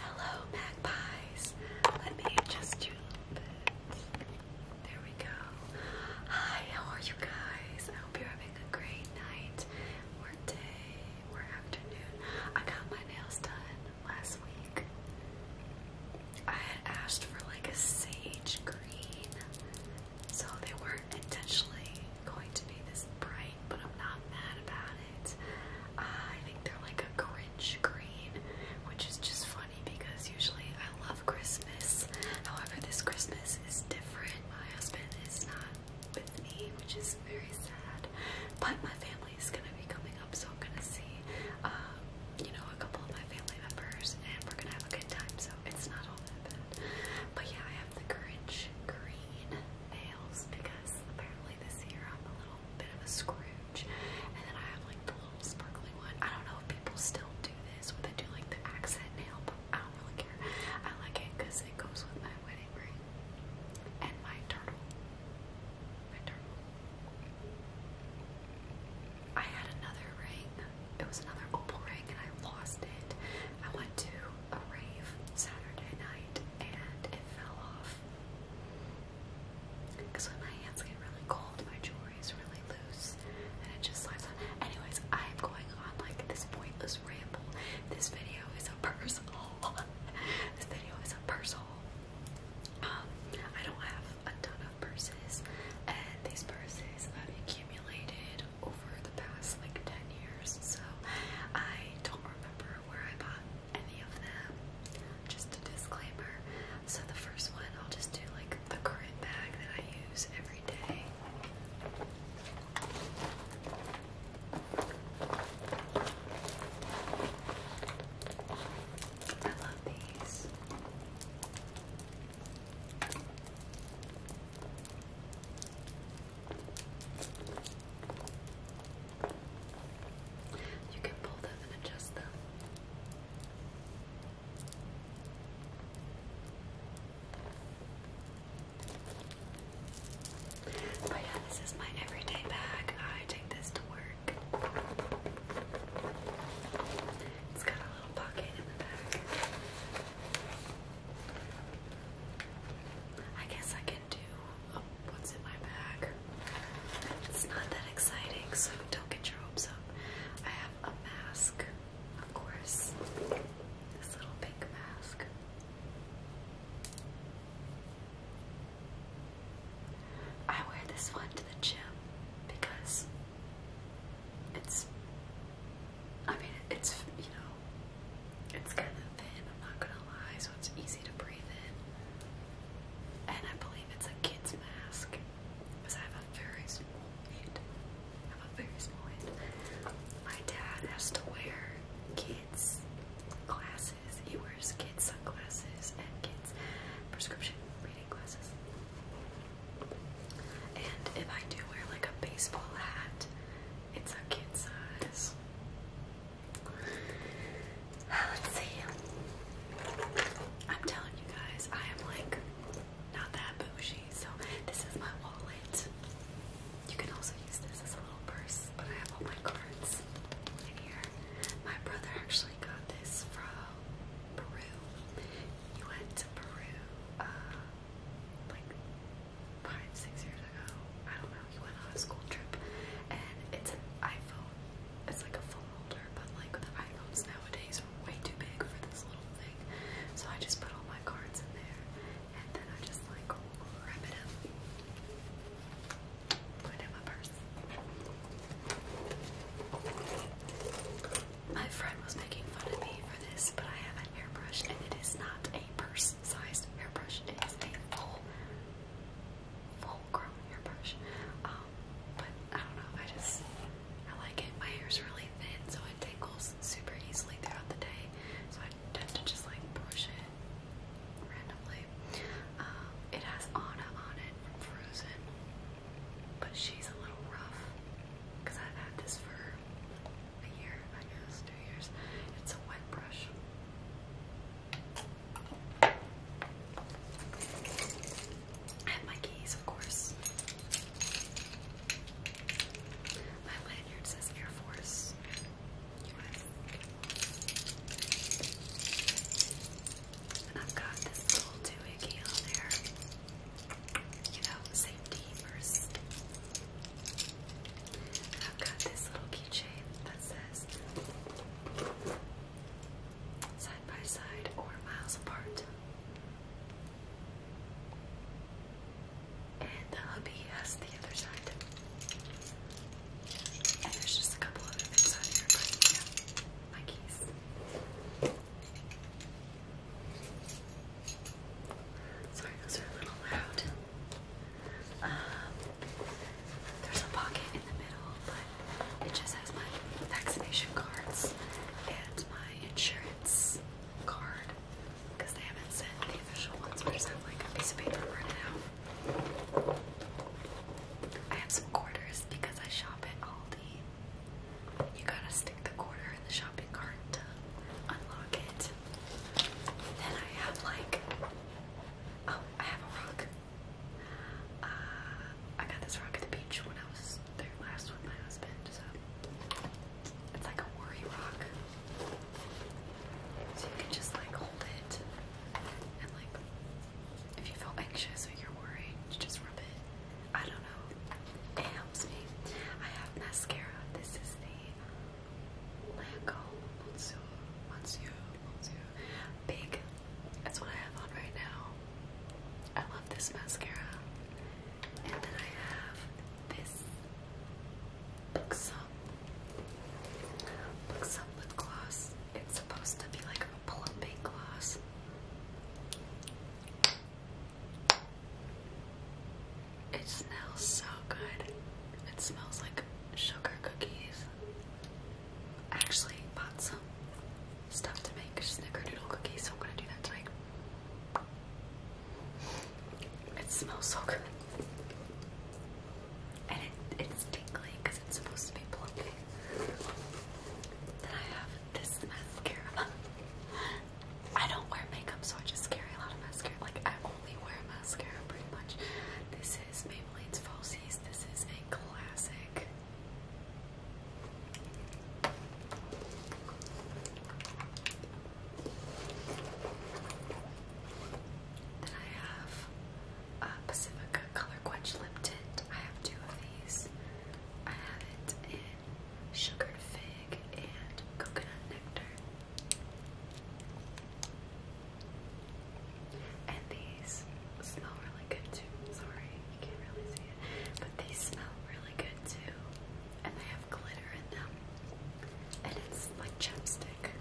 Hello, magpies. Let me adjust you a little bit. There we go. Hi, how are you guys? I hope you're having a great night or day or afternoon. I got my nails done last week. I had asked for like a sage green, so they weren't intentionally going to be this bright, but I'm not mad about it. Uh, I think they're like a cringe green, which is just funny because usually I love Christmas. However, this Christmas is different. My husband is not with me, which is very sad. But my family is gonna be coming up, so I'm gonna see, um, you know, a couple of my family members, and we're gonna have a good time. So it's not all that bad. But yeah, I have the cringe green nails because apparently this year I'm a little bit of a Scrooge. And then I have like the little sparkly one. I don't know if people still do this when they do like the accent nail, but I don't really care. I like it because it goes with my wedding ring and my turtle. My turtle. I had another ring. It was another opal ring and I lost it. I went to a rave Saturday night and it fell off. Because when my hands get really cold, my jewelry is really loose and it just slides on. Anyways, I am going on like this pointless ramble. This video is a purse haul. this video is a purse haul. Um, I don't have a ton of purses, and these purses have accumulated over the past like 10 years, so I don't remember where I bought any of them. Just a disclaimer. So the first one, I'll just do like the current bag that I use every day. I love these. You can pull them and adjust them. But yeah, this is my everyday bag. I take this to work. It's got a little pocket in the back. I guess I can into oh, what's in my bag. It's not that exciting, so don't get your hopes up. I have a mask, of course. This little pink mask. I wear this one to the gym because it's, I mean, it's, you know, it's kind of thin, I'm not gonna lie, so it's easy to breathe in. And I believe it's a kid's mask. Because I have a very small head. I have a very small head. My dad has to wear kids' glasses. He wears kids' sunglasses and kids' prescription reading glasses. And if I do wear like a baseball hat, it's a kid size. Let's see. I'm telling you guys, I am like not that bougie. So this is my wallet. You can also use this as a little purse, but I have all my cards in here. My brother actually got this from Peru. He went to Peru uh, like five, six years ago. I don't know we went on a school trip, and it's an iPhone. It's like a phone holder, but like iPhones nowadays are way too big for this little thing. So I just put all my cards in there, and then I just like wrap it up, put it in my purse. My friend was making fun of me for this, but I have a hairbrush, and it is not a purse-sized hairbrush. It is a full full grown hairbrush. Um, but I don't know, I just I like it. My hair's really thin, so it tangles super easily throughout the day. So I tend to just like brush it randomly. Um, it has Anna on it from Frozen, but she's a little rough because I've had this for a year, I guess, two years. It's a wet brush. I my keys, of course. My lanyard says Air Force. US. And I've got this little doohickey on there. You know, safety first. I've got this little keychain that says side by side or miles apart. And the hubby has the other side. And there's just a couple other things on here, but yeah, my keys. Sorry, those are a little loud there's a pocket in the middle, but it just has my vaccination cards and my insurance card because they haven't sent the official ones. I just like a piece of paper right now. I have some quarters because I shop at Aldi. You gotta stick the quarter in the shopping cart to unlock it. Then I have like Oh, I have a rock. Uh, I got this rock at the beach when I was there last with my husband, so it's like a worry rock. So you can just like hold it and like if you feel anxious or you're worried, just rub it. I don't know. It helps me. I have mascara. This is the Laco Monsieur Monsieur Monsieur Big. That's what I have on right now. I love this mascara. And then I have this Buxom Buxom lip gloss. It's supposed to be like a plumping gloss. It smells so good. It smells like sugar cookies. I actually bought some stuff to make snickerdoodle cookies, so I'm gonna do that tonight. It smells so good. And it's tingly because it's supposed to be plumpy. Then I have this mascara. I don't wear makeup, so I just carry a lot of mascara. Like, I only wear mascara pretty much. This is Maybelline's Falsies. This is a classic. Then I have uh, Pacifica Color Quench Lip Tint. I have two of these. I have it in Sugared Fig and Coconut Nectar. And these smell really good too. Sorry, you can't really see it. But they smell really good too. And they have glitter in them. And it's like chapstick.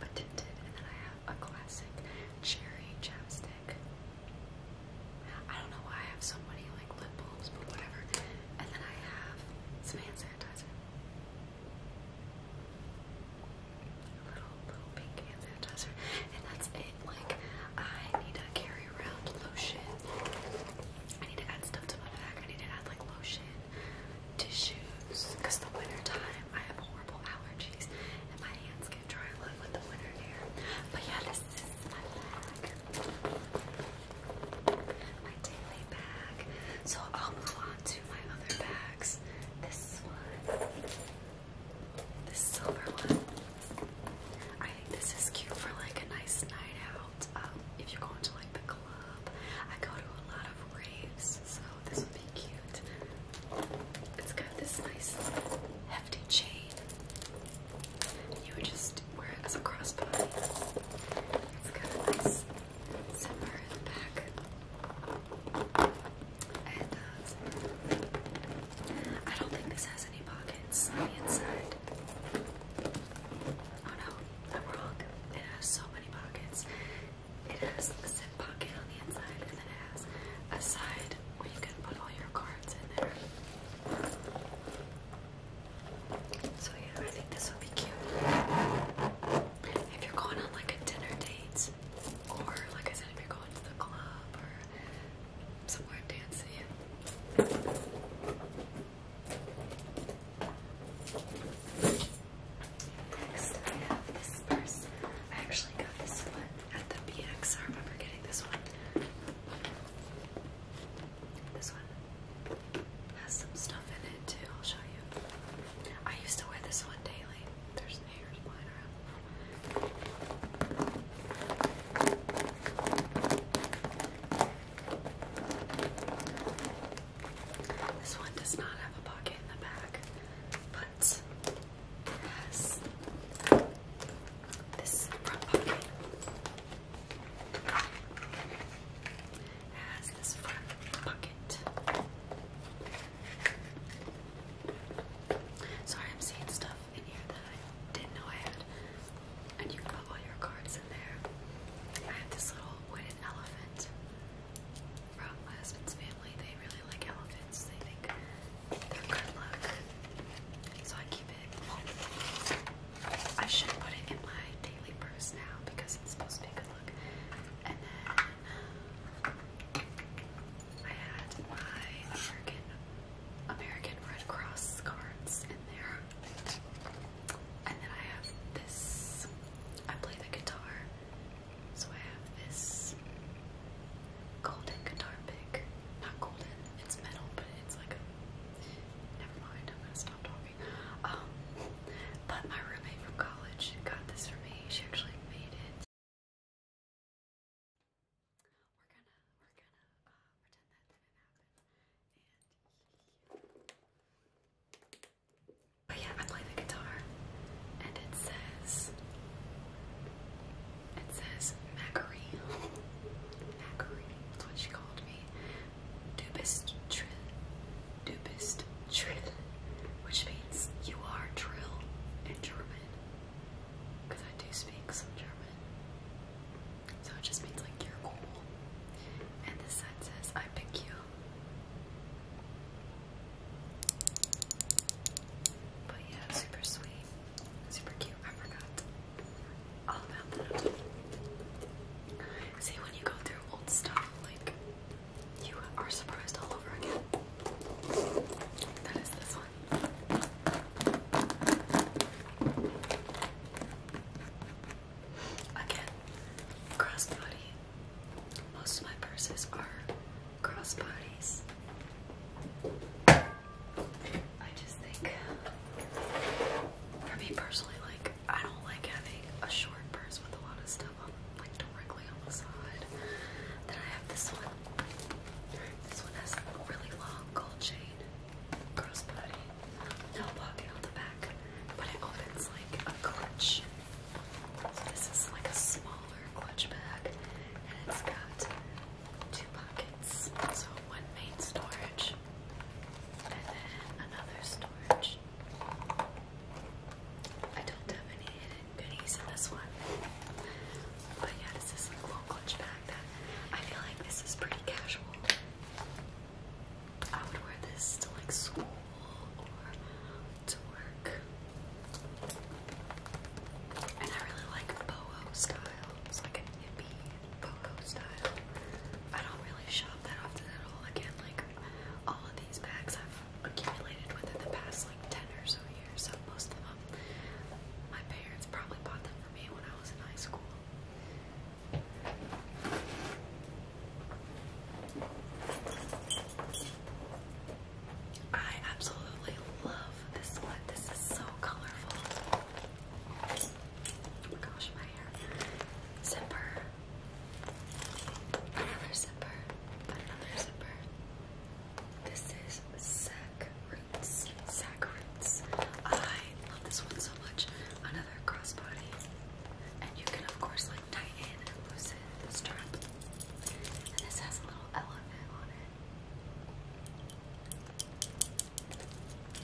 But tinted. And then I have a classic cherry chapstick. I don't know why I have so many like lip balms, but whatever. And then I have Samantha does it. Little, little pink sanitizer. And that's it. Like, I need to carry around lotion. I need to add stuff to my bag. I need to add, like, lotion, tissues. Because the wintertime I have horrible allergies. And my hands get dry a lot with the winter air. But yeah, this is my bag. My daily bag. So I'll move on to my other bags. This one, this silver one. I think this is cute for like a nice night out. Um, if you're going like the club, I go to a lot of raves, so this would be cute. It's got this nice hefty chain. You would just wear it as a crossbody. It's got nice somewhere in back. Uh, I don't think this has any pockets on the inside. Oh no, I'm wrong. It has so many pockets. It has a zip pocket on the inside, and then it has a side where you can put all your cards in there. So yeah, I think this would be cute if you're going on like a dinner date, or like I said, if you're going to the club or somewhere dancing. Next, I have this purse. actually got at the BX. I remember getting this one. This one has some stuff in it too. I'll show you. I used to wear this one daily. There's hairs flying around. This one does not have a pocket in the back, but it this front pocket has this front pocket. Sorry, I'm seeing stuff in here that I didn't know I had. And you put all your cards in there. I have this little wooden elephant from my husband's family. They really like elephants. They think they're good luck. So I keep it. I should put it in my daily purse now because it's supposed to be good luck. And then I had my American American Red Cross cards in there. And then I have this. I play the guitar. So I have this golden guitar pick. Not golden, it's metal, but it's like a. Never mind, I'm gonna stop talking. Um, but my roommate from college got this for me. She actually made it. we uh, And yeah, I play the guitar, and it says, it says Macquarie. Macquarie. That's what she called me. Dubistrin dupist Drill, which means you are Drill in German, because I do speak some German. So it just means like you're cool. And this side says, I pick you. But yeah, super sweet, super cute. I forgot all about that. See, when you go through old stuff, like you are surprised all over again. That is this one. Again, crossbody. Most of my purses are crossbodies. I just think, for me personally, like I don't like having a short purse with a lot of stuff on, like directly on the side. Then I have this one. This one has a really long gold chain, cross body, no pocket on the back, but it opens like a clutch. So this is like a smaller clutch bag, and it's got two pockets. So one main storage, and then another storage. I don't have any hidden goodies in this one. But yeah, this is a cool clutch bag that I feel like this is pretty casual. I would wear this to like school or to work. And I really like boho style. It's like an hippie boho style. I don't really shop that often at all. Again, like all of these bags I've accumulated within the past like 10 or so years. So most of them, my parents probably bought them for me when I was in high school. I absolutely love this one. This is so colorful. Oh my gosh, my hair. Zipper. Another zipper. Another zipper. This is sac Roots. sac Roots. I love this one so much. Another crossbody. And you can of course like tighten and loosen the strap. And this has a little elephant on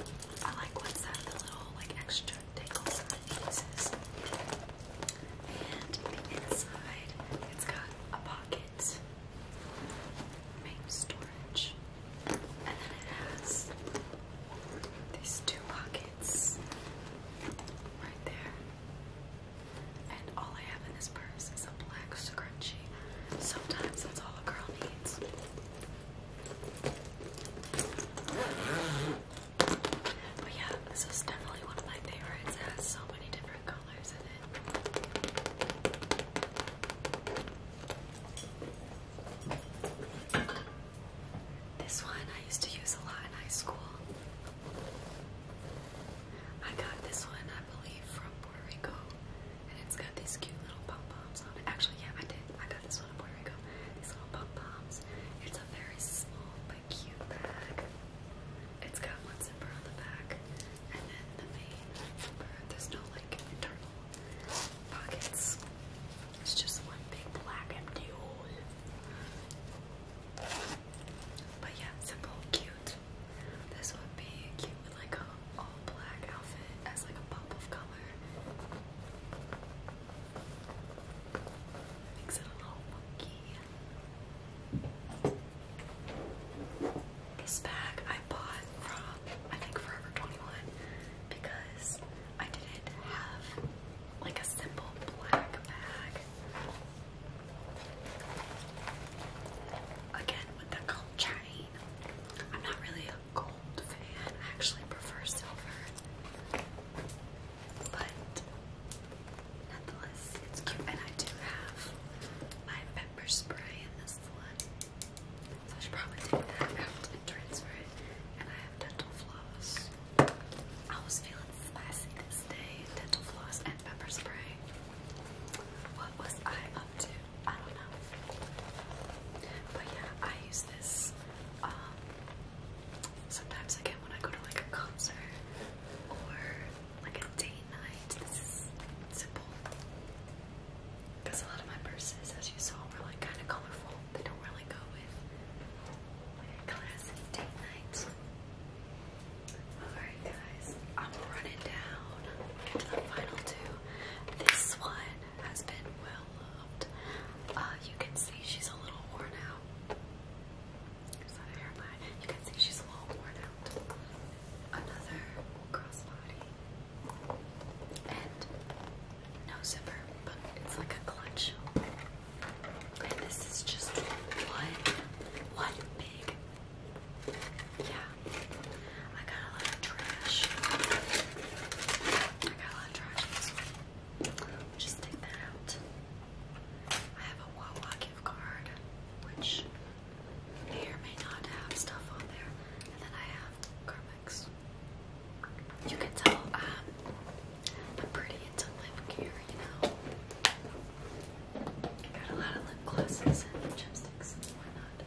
it. I like what's that the little like extra try to tickle some of the pieces. And inside, it's got a pocket, main storage, and then it has these two pockets right there. And all I have in this purse is a black scrunchie. Sometimes that's all a girl needs. But yeah, this is definitely one of my favorites. It has so many different colors in it. This one I used to use a lot in high school. I got this one, I believe, from Puerto Rico. And it's got these cute little pom poms on it. Actually, yeah, I did. I got this one in Puerto Rico. These little pom poms. It's a very small cute bag. It's got one zipper on the back and then the main zipper. There's no like internal pockets. It's just one big black empty hole. But yeah, simple, cute. This would be cute with like a all black outfit as like a pop of color. This bag I bought from I think Forever 21 because I didn't have like a simple black bag. Again with the gold chain. I'm not really a gold fan. actually prefer silver. But nonetheless, it's cute. And I do have my pepper spray in this one. So I should probably take that out and transfer it. And I have dental floss. I was feeling spicy this day. Dental floss and pepper spray. What was I up to? I don't know. But yeah, I use this um, Sometimes again when I go to like a concert or like a date night, this is simple. Because a lot of my purses, as you saw, were like kind of colorful. They don't really go with like date nights. Alright guys, I'm running down to the final two. This one has been well loved. Uh, you can see she's a little worn out. Here's that hairline. You can see she's a little worn out. Another crossbody. And no zipper, but it's like a clutch. And this is just one, one big. Yeah. I got a lot of trash. I got a lot of trash just take that out. I have a Wawa gift card, which may or may not have stuff on there. And then I have Carmex. You can tell um, I'm pretty into lip care, you know. got a lot of lip glosses and chipsticks and whatnot.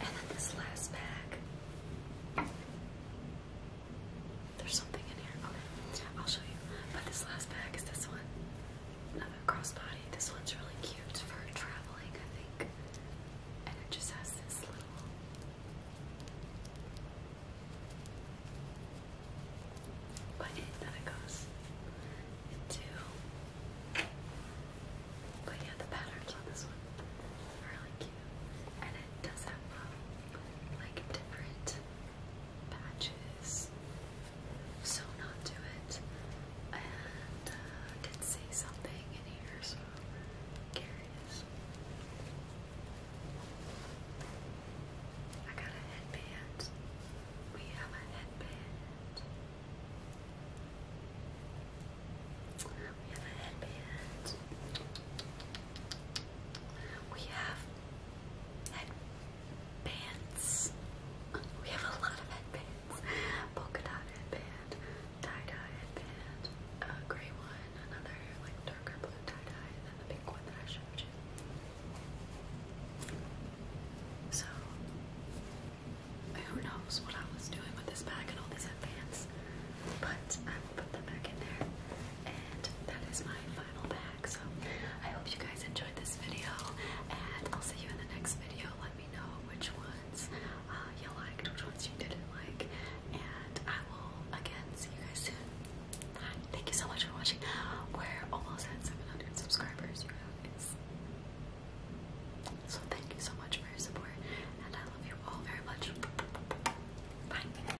And then this last bag there's something in here. Okay, I'll show you. But this last bag is this one. Another crossbody. This one's really cute for traveling, I think. And it just has this little button that it goes into. But yeah, the patterns on this one are really cute. And it does have um, like different patches, so not to it. And uh, did see something in here, so curious. I got a headband. We have a headband. We have a headband. We have headbands. We have a lot of headbands. Polka dot headband, tie-dye headband, a gray one, another like darker blue tie-dye, and the pink one that I showed you. So who knows what I was doing with this bag and all these headbands. But uh, put them back in there. And that is my final bag. So I hope you guys enjoyed this video, and I'll see you in the next video. Let me know which ones uh, you liked, which ones you didn't like, and I will again see you guys soon. Thank you so much for watching. We're almost at 700 subscribers, guys. So thank you so much for your support, and I love you all very much. Bye.